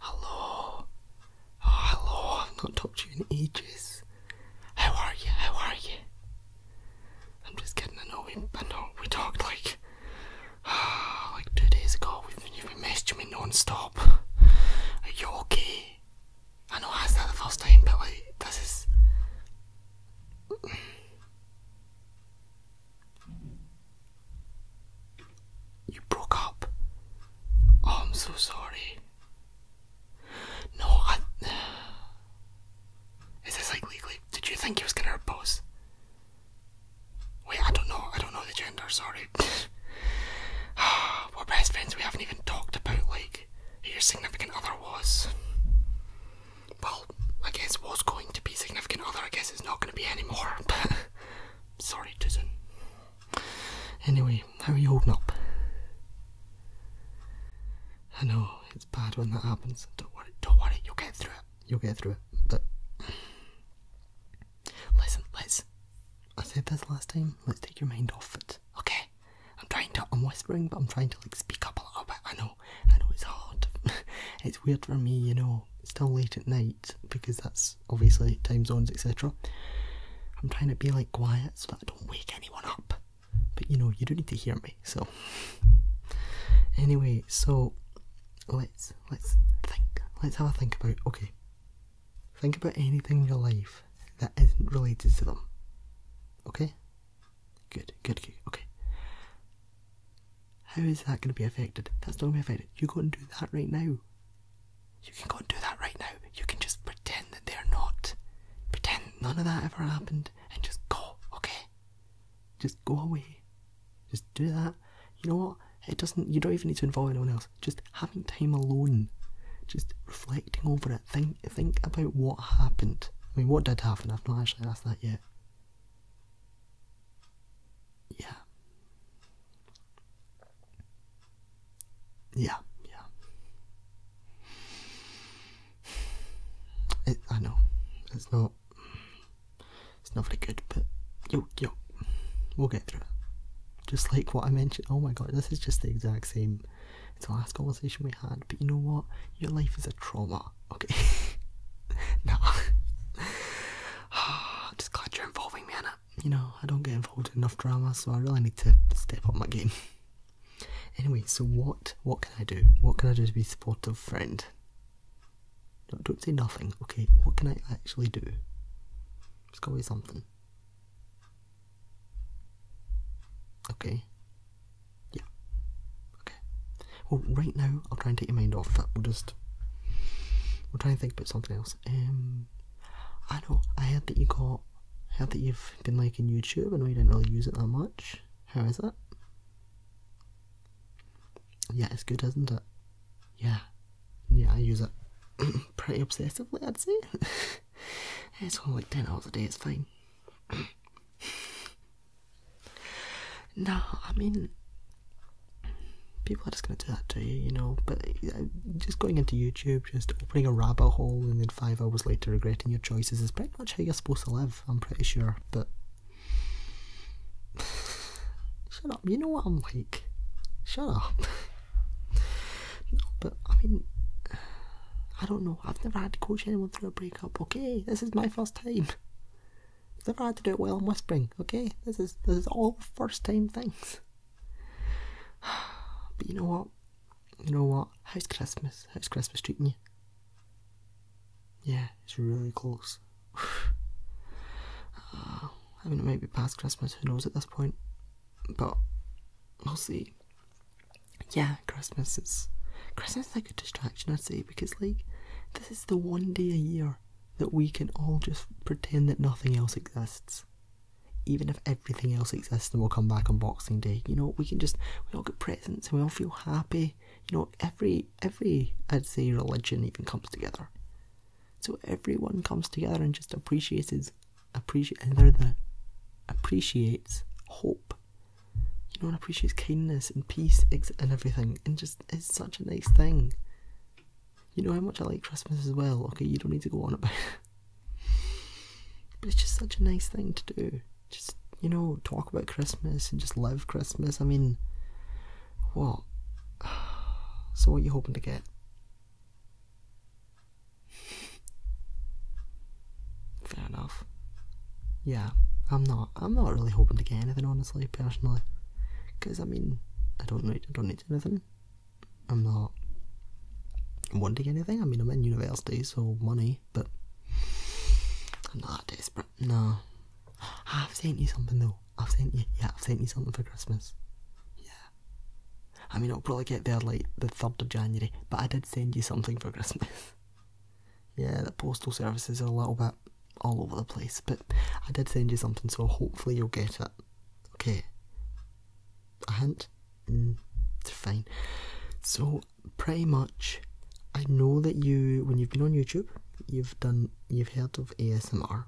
Hello. Oh, hello. I've not talked to you in ages. How are you? How are you? I'm just getting I know we, I know we talked like, like two days ago. We've, been messaged me non-stop. Are you okay? I know I asked the first time, but like, this is. You broke up. Oh, I'm so sorry. No, I. Is this like legally? Did you think he was gonna repose? Wait, I don't know. I don't know the gender. Sorry. We're best friends. We haven't even talked about like your significant other was. Well, I guess was going to be significant other. I guess it's not going to be anymore. Sorry, Tizen. Anyway, how are you holding up? I know, it's bad when that happens. Don't worry, don't worry, you'll get through it. You'll get through it. But listen, let I said this last time, let's take your mind off it. Okay? I'm trying to I'm whispering but I'm trying to like speak up a little bit. I know, I know it's hard. it's weird for me, you know, still late at night because that's obviously time zones, etc. I'm trying to be like quiet so that I don't wake anyone up, but you know, you do need to hear me, so anyway, so let's let's think, let's have a think about okay, think about anything in your life that isn't related to them, okay. Good, good, good. Okay. How is that going to be affected? That's not going to be affected. You go and do that right now. You can go and do that right now. You can just pretend that they're not. Pretend none of that ever happened and just go, okay? Just go away. Just do that. You know what? It doesn't you don't even need to involve anyone else. Just having time alone. Just reflecting over it. Think think about what happened. I mean what did happen? I've not actually asked that yet. Yeah. Yeah, yeah. I know. It's not. It's not very good, but yo, yo, we'll get through it. Just like what I mentioned. Oh my god, this is just the exact same. It's the last conversation we had. But you know what? Your life is a trauma okay. no. I'm just glad you're involving me in You know, I don't get involved in enough drama, so I really need to step up my game. Anyway, so what what can I do? What can I do to be supportive friend? don't say nothing, okay? What can I actually do? It's gotta something. Okay. Yeah. Okay. Well, right now, I'll try and take your mind off that. We'll just. We'll try and think about something else. Um, I know, I heard that you got. I heard that you've been liking YouTube. I know you didn't really use it that much. How is that? Yeah, it's good, isn't it? Yeah. Yeah, I use it pretty obsessively, I'd say. it's only like 10 hours a day, it's fine. No, I mean, people are just gonna do that to you, you know. But uh, just going into YouTube, just opening a rabbit hole, and then five hours later regretting your choices is pretty much how you're supposed to live. I'm pretty sure, but. Shut up, you know what I'm like. Shut up. no, but I mean, I don't know. I've never had to coach anyone through a breakup, okay? This is my first time. I've never oh, had to do it while I'm whispering, okay? This is this is all first time things. But you know what? You know what? How's Christmas? How's Christmas treating you? Yeah, it's really close. I mean, it might be past Christmas, who knows at this point. But we'll see yeah, Christmas is Christmas like a distraction, I'd say, because like this is the one day a year that we can all just pretend that nothing else exists. Even if everything else exists then we'll come back on Boxing Day. You know, we can just we all get presents and we all feel happy. You know, every every I'd say religion even comes together. So everyone comes together and just appreciates appreciate appreciates hope you know, and appreciates kindness and peace and everything, and just it's such a nice thing. You know how much I like Christmas as well. Okay, you don't need to go on about it, but it's just such a nice thing to do. Just you know, talk about Christmas and just live Christmas. I mean, what? So, what are you hoping to get? Fair enough. Yeah, I'm not. I'm not really hoping to get anything, honestly, personally, because I mean, I don't need. I don't need anything. I'm not wanting anything. I mean, I'm in university, so money, but I'm not desperate. No, I've sent you something though. I've sent you. Yeah, I've sent you something for Christmas. Yeah. I mean, it'll probably get there like the 3rd of January, but I did send you something for Christmas. yeah, the postal services is a little bit all over the place, but I did send you something, so hopefully you'll get it. Okay. A hint? Mm, fine. So, pretty much, I know that you, when you've been on YouTube, you've done, you've heard of ASMR.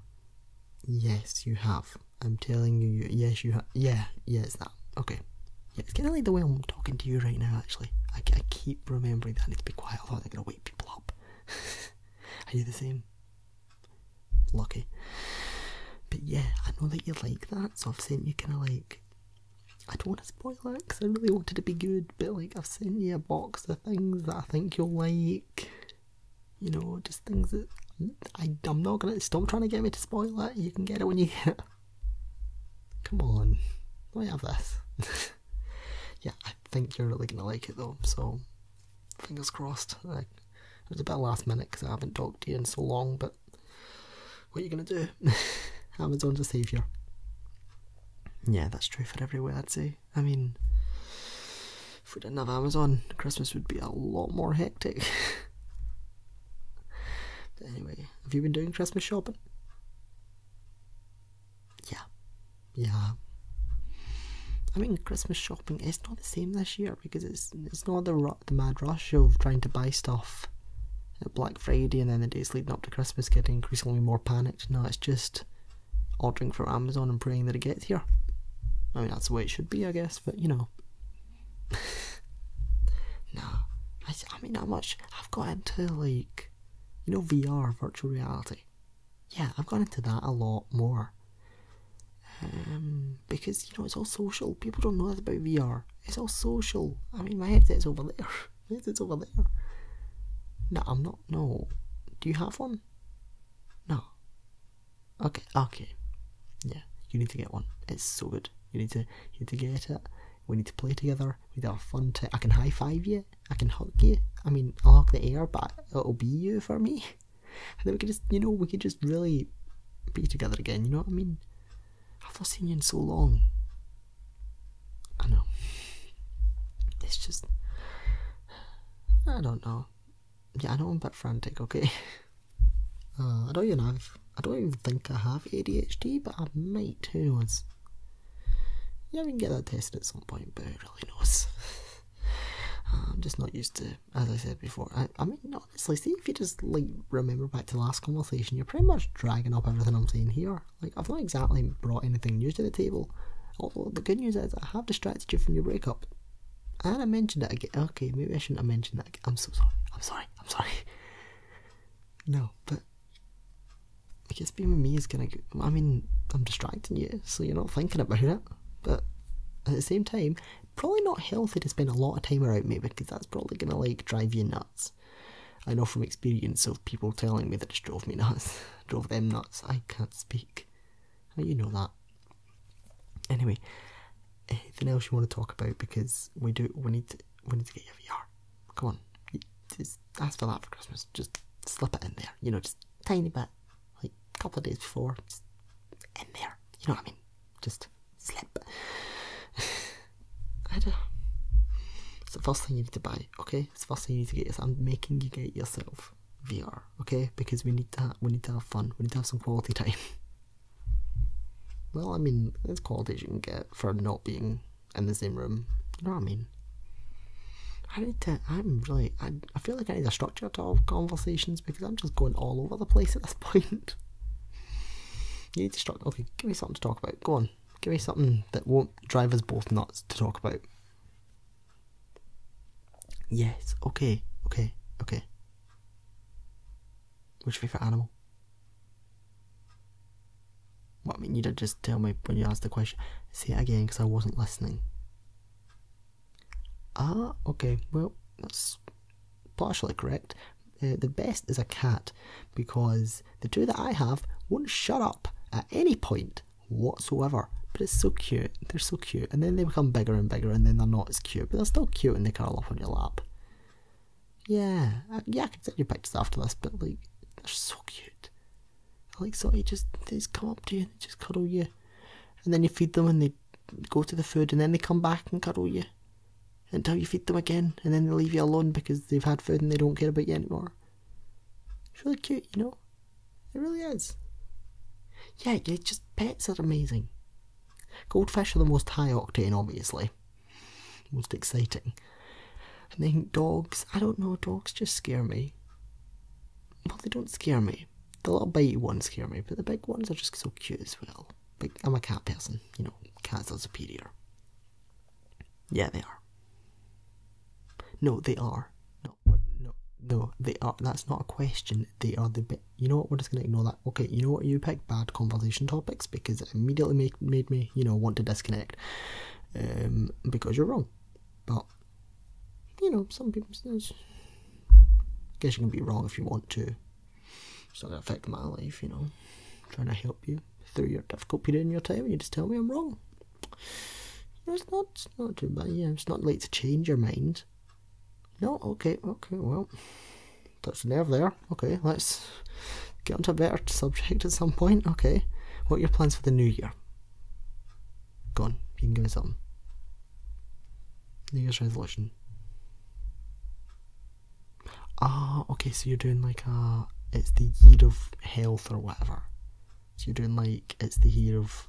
Yes, you have. I'm telling you, yes, you have. Yeah, Yes. it's Okay. it's kind of like the way I'm talking to you right now, actually. I, keep remembering that I need to be quiet, otherwise I'm going to wake people up. Are you the same? Lucky. But yeah, I know that you like that, so I've sent you kind of like. I don't want to spoil it because I really wanted it to be good, but like I've sent you a box of things that I think you'll like. You know, just things that I, I'm not gonna stop trying to get me to spoil that. You can get it when you get it. Come on, let me have this. yeah, I think you're really gonna like it though, so fingers crossed. it was a bit last minute because I haven't talked to you in so long, but what are you gonna do? Amazon Amazon's a saviour. Yeah, that's true for everywhere, I'd say. I mean, if we didn't have Amazon, Christmas would be a lot more hectic. Anyway, have you been doing Christmas shopping? Yeah. Yeah. I mean, Christmas shopping is not the same this year because it's it's not the the mad rush of trying to buy stuff at Black Friday and then the days leading up to Christmas getting increasingly more panicked. No, it's just ordering from Amazon and praying that it gets here. I mean, that's the way it should be, I guess, but you know, no, I, I mean, how much? I've got into like, you know, VR, virtual reality. Yeah, I've got into that a lot more. Um, because you know it's all social. People don't know that about VR. It's all social. I mean, my headset's over there. my headset's over there. No, I'm not. No. Do you have one? No. Okay. Okay. Yeah, you need to get one. It's so good. You need to you need to get it. We need to play together. We need have fun. I can high five you. I can hug you. I mean, I'll hug the air, but it'll be you for me. And then we can just, you know, we can just really be together again. You know what I mean? I've not seen you in so long. I know. It's just, I don't know. Yeah, I don't want to be frantic. Okay. Uh, I don't even have. I don't even think I have ADHD, but I might. Who knows? Yeah, we can get that tested at some point, but who really knows? I'm just not used to, as I said before. I, I mean, honestly, see if you just like remember back to last conversation, you're pretty much dragging up everything I'm saying here. Like, I've not exactly brought anything new to the table. Although the good news is, I have distracted you from your breakup, and I mentioned that again. Okay, maybe I shouldn't have mentioned that. Again. I'm so sorry. I'm sorry. I'm sorry. No, but I guess being with me is gonna. I mean, I'm distracting you, so you're not thinking about it. But at the same time, probably not healthy to spend a lot of time around me because that's probably gonna like drive you nuts. I know from experience of people telling me that it drove me nuts, drove them nuts. I can't speak. You know that. Anyway, anything else you want to talk about? Because we do. We need. To, we need to get your VR. Come on, just ask for that for Christmas. Just slip it in there. You know, just tiny bit, like a couple of days before. Just in there. You know what I mean? Just slip. I don't. It's the first thing you need to buy. Okay, it's the first thing you need to get. Is I'm making you get yourself VR. Okay, because we need to. we need to have fun. We need to have some quality time. Well, I mean, there's qualities you can get for not being in the same room. You know what I mean? I need to. I'm really. I, I feel like I need a structure to all conversations because I'm just going all over the place at this point. you need to structure. Okay, give me something to talk about. Go on. Give me something that won't drive us both nuts to talk about. Yes. Okay. Okay. Okay. What's your favourite animal? What mean, you did just tell me when you asked the question. Say it again, because I wasn't listening. Ah, okay, well, that's partially correct. Uh, the best is a cat, because the two that I have won't shut up at any point whatsoever. But it's so cute. They're so cute, and then they become bigger and bigger, and then they're not as cute, but they're still cute and they curl up on your lap. Yeah, yeah, I can send you pictures after this, but like, they're so cute. like, so they just, they just come up to you and they just cuddle you, and then you feed them and they go to the food, and then they come back and cuddle you until you feed them again, and then they leave you alone because they've had food and they don't care about you anymore. It's really cute, you know? It really is. Yeah, yeah, just pets are amazing. Goldfish are the most high octane, obviously. Most exciting. I think dogs, I don't know, dogs just scare me. Well, they don't scare me. The little bitey ones scare me, but the big ones are just so cute as well. But I'm a cat person, you know, cats are superior. Yeah, they are. No, they are. no, no, they are. That's not a question. They are the bit you know what, we're just going to ignore that. Okay, you know what, you picked bad conversation topics because it immediately make, made me, you know, want to disconnect um, because you're wrong. But, you know, some people, guess you can be wrong if you want to. It's not going to affect my life, you know. trying to help you through your difficult period in your time and you just tell me I'm wrong. it's not, it's not too bad, yeah, it's not late to change your mind. No, okay, okay, well, that's nerve there. Okay, let's get onto a better subject at some point. Okay, what are your plans for the new year? Gone. you can give me something. New Year's resolution. Ah, okay, so you're doing like a. It's the year of health or whatever. So you're doing like it's the year of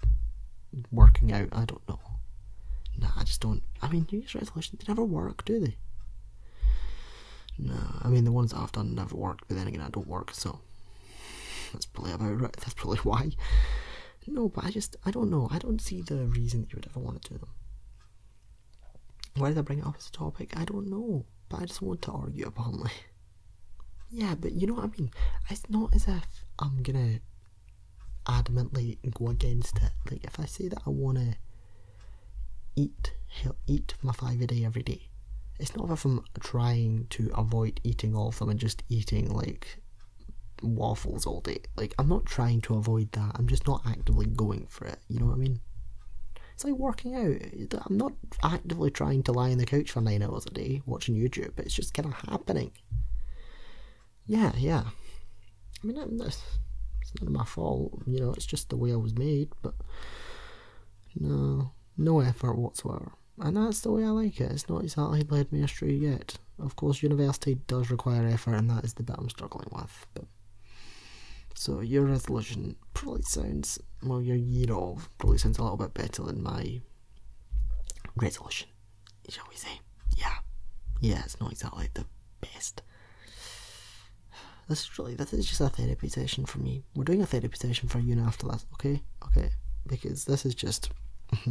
working out. I don't know. Nah, I just don't. I mean, New Year's resolutions they never work, do they? No, I mean the ones I've done never worked. But then again, I don't work, so that's probably about right. That's probably why. No, but I just I don't know. I don't see the reason you would ever want to do them. Why did I bring it up as a topic? I don't know. But I just want to argue apparently. Yeah, but you know what I mean? It's not as if I'm gonna adamantly go against it. Like, if I say that I wanna eat, eat my five a day every day, it's not as if I'm trying to avoid eating all of them and just eating like waffles all day. Like, I'm not trying to avoid that. I'm just not actively going for it. You know what I mean? It's like working out. I'm not actively trying to lie in the couch for nine hours a day watching YouTube. It's just kind of happening yeah, yeah. I mean, that's, it's of my fault, you know, it's just the way I was made, but no, no effort whatsoever. And that's the way I like it. It's not exactly led me astray yet. Of course, university does require effort, and that is the bit I'm struggling with. But so your resolution probably sounds well, your year off probably sounds a little bit better than my resolution, shall we say? Yeah, yeah, it's not exactly the best. This is really this is just a therapy session for me. We're doing a therapy session for you and after that, okay? Okay, because this is just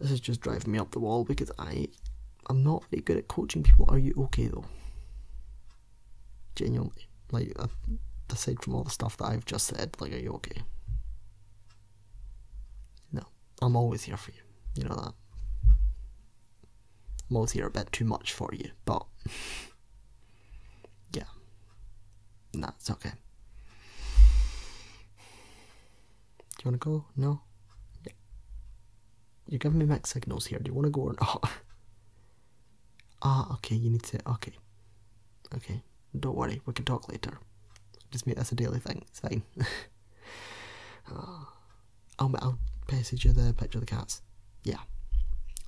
this is just driving me up the wall because I I'm not very good at coaching people. Are you okay though? Genuinely, like uh, aside from all the stuff that I've just said, like are you okay? No, I'm always here for you. You know that. I'm always here a bit too much for you, but yeah. Nah, it's okay. Do you want to go? No? You're giving me mixed signals here. Do you want to go or not? ah, okay, you need to. Okay. Okay. Don't worry, we can talk later. Just make this a daily thing, it's fine. Ah, I'll, I'll message you the picture of the cats. Yeah,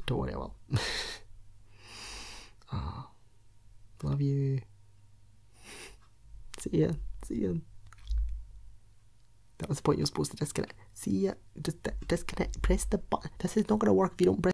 don't worry, I will. Ah, love you. See ya, see ya. That was the point you were supposed to disconnect. See ya, just disconnect, press the button. This is not going to work if you don't press.